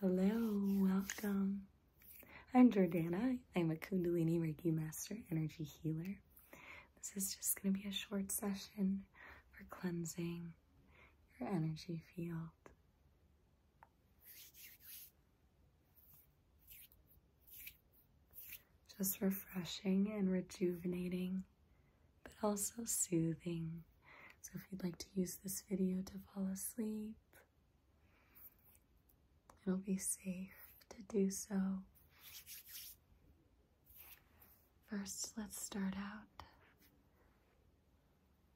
Hello, welcome. I'm Jordana. I'm a Kundalini Reiki Master Energy Healer. This is just going to be a short session for cleansing your energy field. Just refreshing and rejuvenating, but also soothing. So if you'd like to use this video to fall asleep, it'll be safe to do so. First, let's start out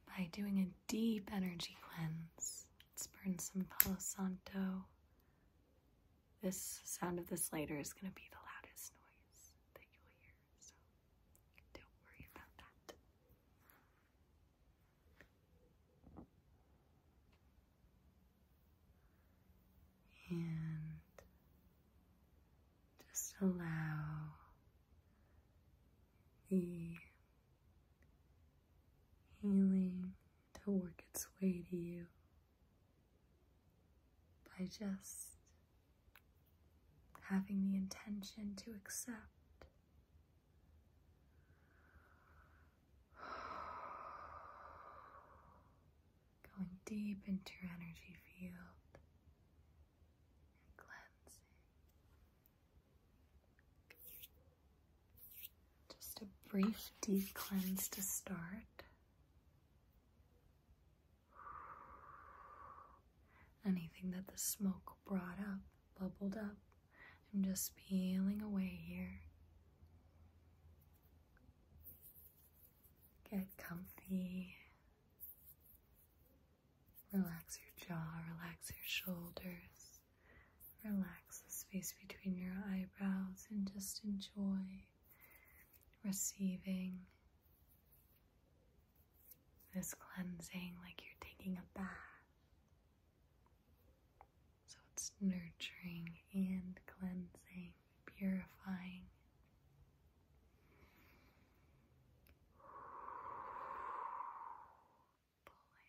by doing a deep energy cleanse. Let's burn some Palo Santo. This sound of this later is going to be the loudest noise that you'll hear so don't worry about that. And just allow the healing to work its way to you by just having the intention to accept. Going deep into your energy field and cleansing. Just a brief deep cleanse to start. Anything that the smoke brought up, bubbled up, I'm just peeling away here. Get comfy. Relax your jaw, relax your shoulders, relax the space between your eyebrows, and just enjoy receiving this cleansing like you're taking a bath. So it's nurturing and cleansing, purifying. Pulling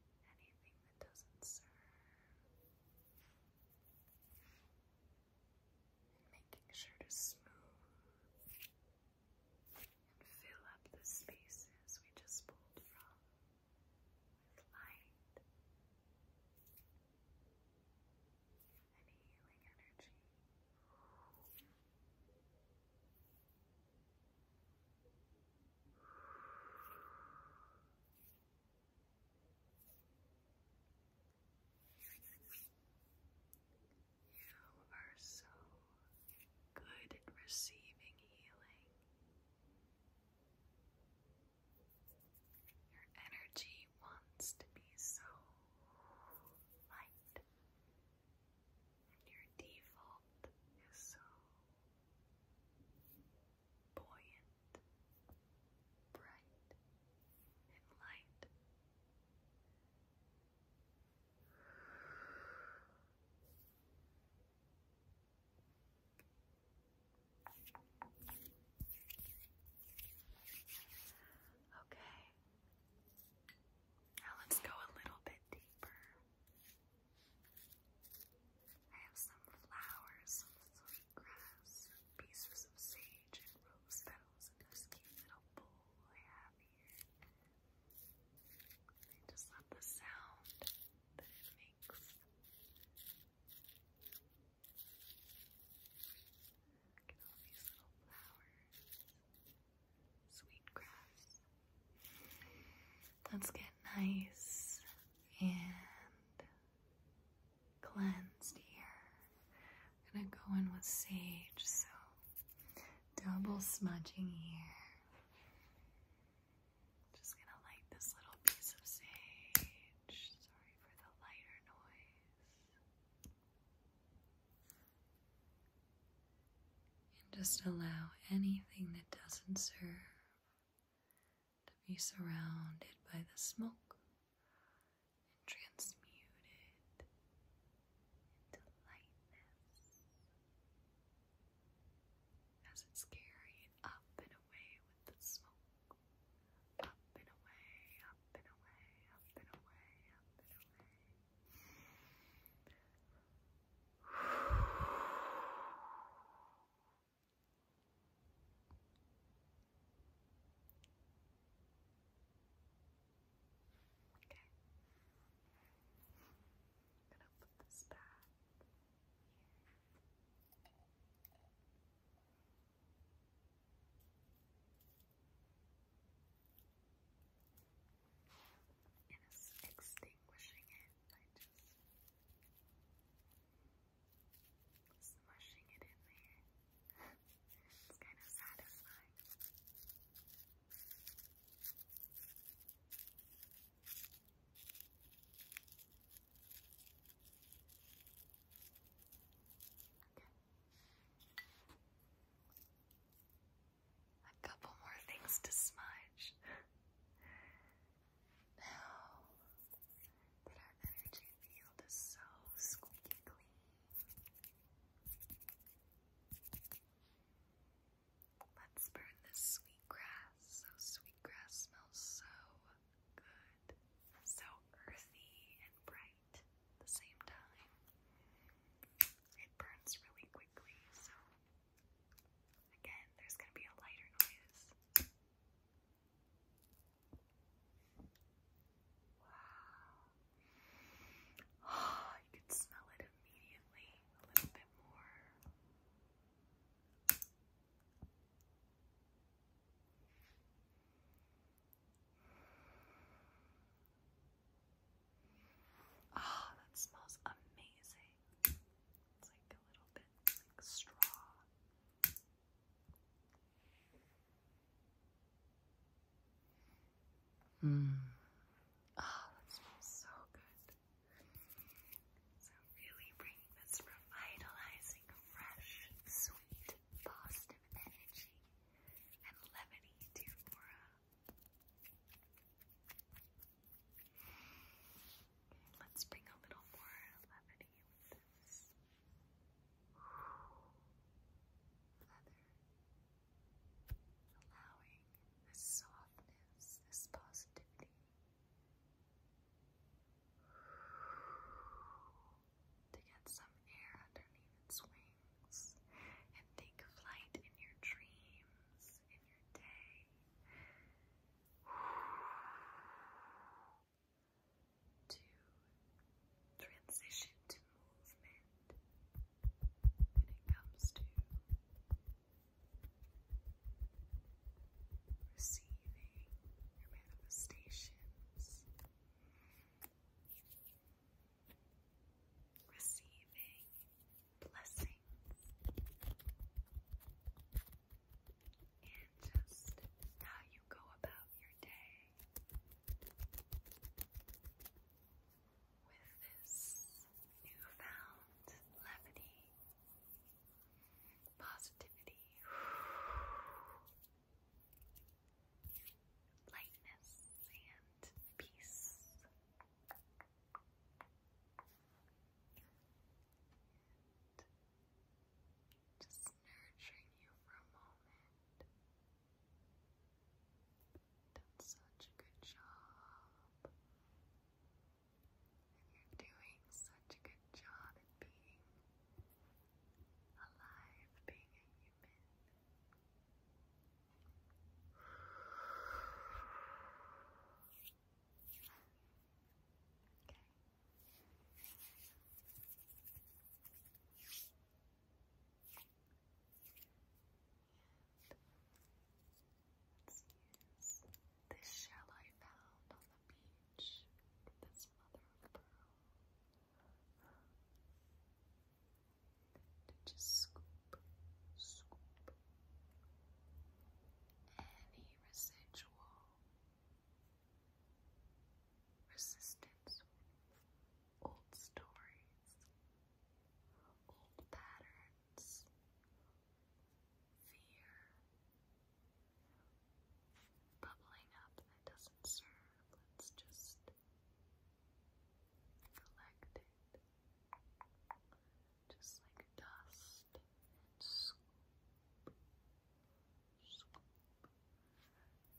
anything that doesn't serve making sure to smooth and fill up the spaces we just pulled from with light and healing energy. You are so good at receiving healing. Your energy wants to be so light, and your default is so buoyant bright and light. Okay, now let's go a little bit deeper. I have some flowers, grass, pieces of sage, and rose petals in this cute little bowl I have here. I just love the sound that it makes. Look at all these little flowers. Sweet grass. Let's get nice and cleansed here. I'm gonna go in with sage, so double smudging here. Just gonna light this little piece of sage. Sorry for the lighter noise. And just allow anything that doesn't serve to be surrounded by the smoke and transmuted into lightness as it's carried up and away with the smoke. Up and away, up and away, up and away, up and away. Okay. I'm gonna put this back And it's extinguishing it by just Smushing it in there. it's kind of satisfying. Okay. A couple more things to smudge. Now that our energy field is so squeaky clean, let's burn this sweet grass. So sweet grass smells so good, so earthy and bright at the same time. It burns really quickly, so Again, there's going to be a lighter noise. Wow. Oh, you can smell it immediately. A little bit more. Ah, oh, that smells amazing. It's like a little bit straw. Mm. Oh, ah, that smells so good. So really bringing this revitalizing, fresh, sweet, positive energy and levity to aura. Let's bring a little more levity with this leather, allowing this softness, this positivity to get some air underneath its wings and take flight in your dreams, in your day to transition to movement when it comes to receiving your manifestations, receiving blessings and just how you go about your day with this newfound levity, positivity. Lightness and peace just nurturing you for a moment. Done such a good job. And you're doing such a good job at being alive, being a human. Okay. And let's use this shell I found on the beach. This mother of pearl. To just scoop any residual resistance, old stories, old patterns, fear bubbling up that doesn't serve. Let's just collect it just like dust and scoop, scoop,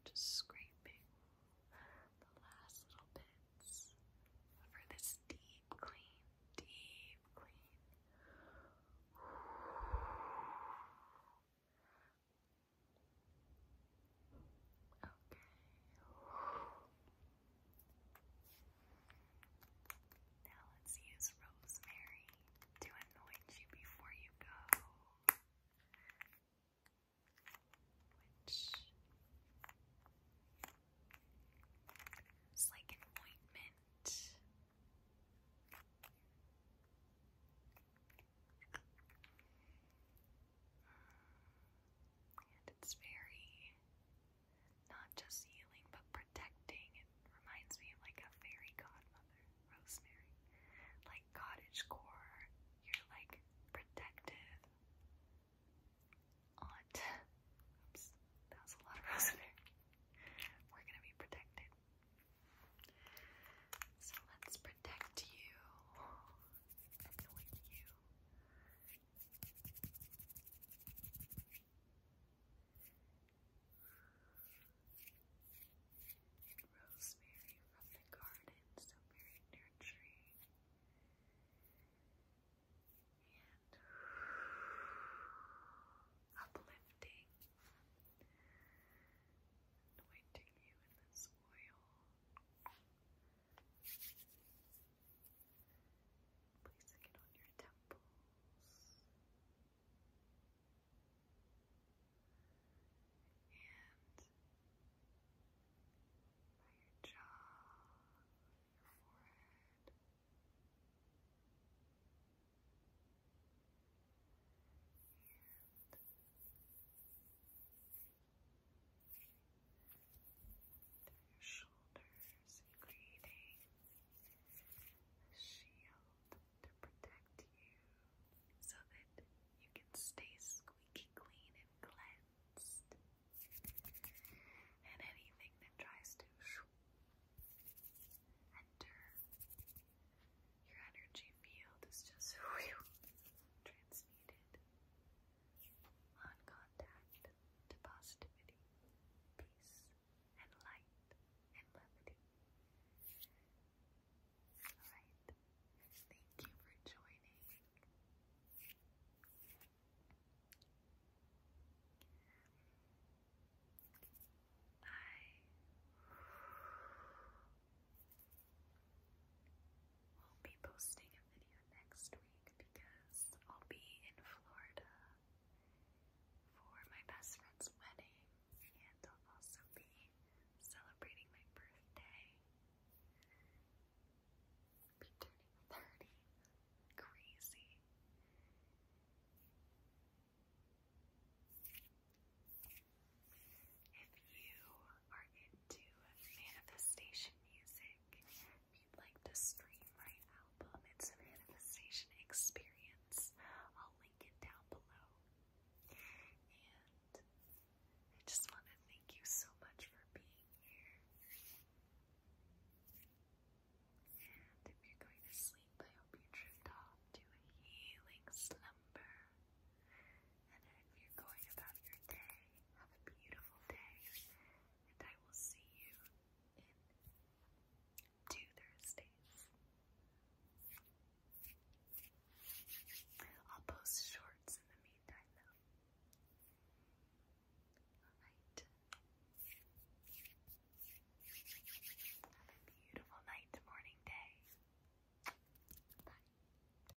just scraping the last little bits for this deep clean, deep clean. Okay. Now let's use rosemary to anoint you before you go. Which is like an ointment. And it's very not just healing but protecting. It reminds me of like a fairy godmother, Rosemary. Like cottage core, you're like protective aunt. that was a lot of Rosemary. We're gonna be protected. So let's protect you, anoint you, Rosemary from the garden, so very nurturing. And uplifting, anointing you in this oil. Placing it on your temples. And by your jaw, your forehead. And through your shoulders, creating a shield to protect you so that you can stay squeaky clean and cleansed. And anything that tries to enter your energy field is just transmuted on contact positivity, peace, and light and levity. Alright, thank you for joining. I i will be posting a video next week because I'll be in Florida for my best friend's wedding and I'll also be celebrating my birthday. I'll be turning 30. Crazy. If you are into manifestation music, if you'd like to stream my album, it's a manifestation experience. I'll link it down below. And I just want to thank you so much for being here. And if you're going to sleep, I hope you drift off to a healing slumber. And if you're going about your day, have a beautiful day. And I will see you in two Thursdays. I'll post shorts in the meantime, though. Alright. Have a beautiful night, morning, day. Bye.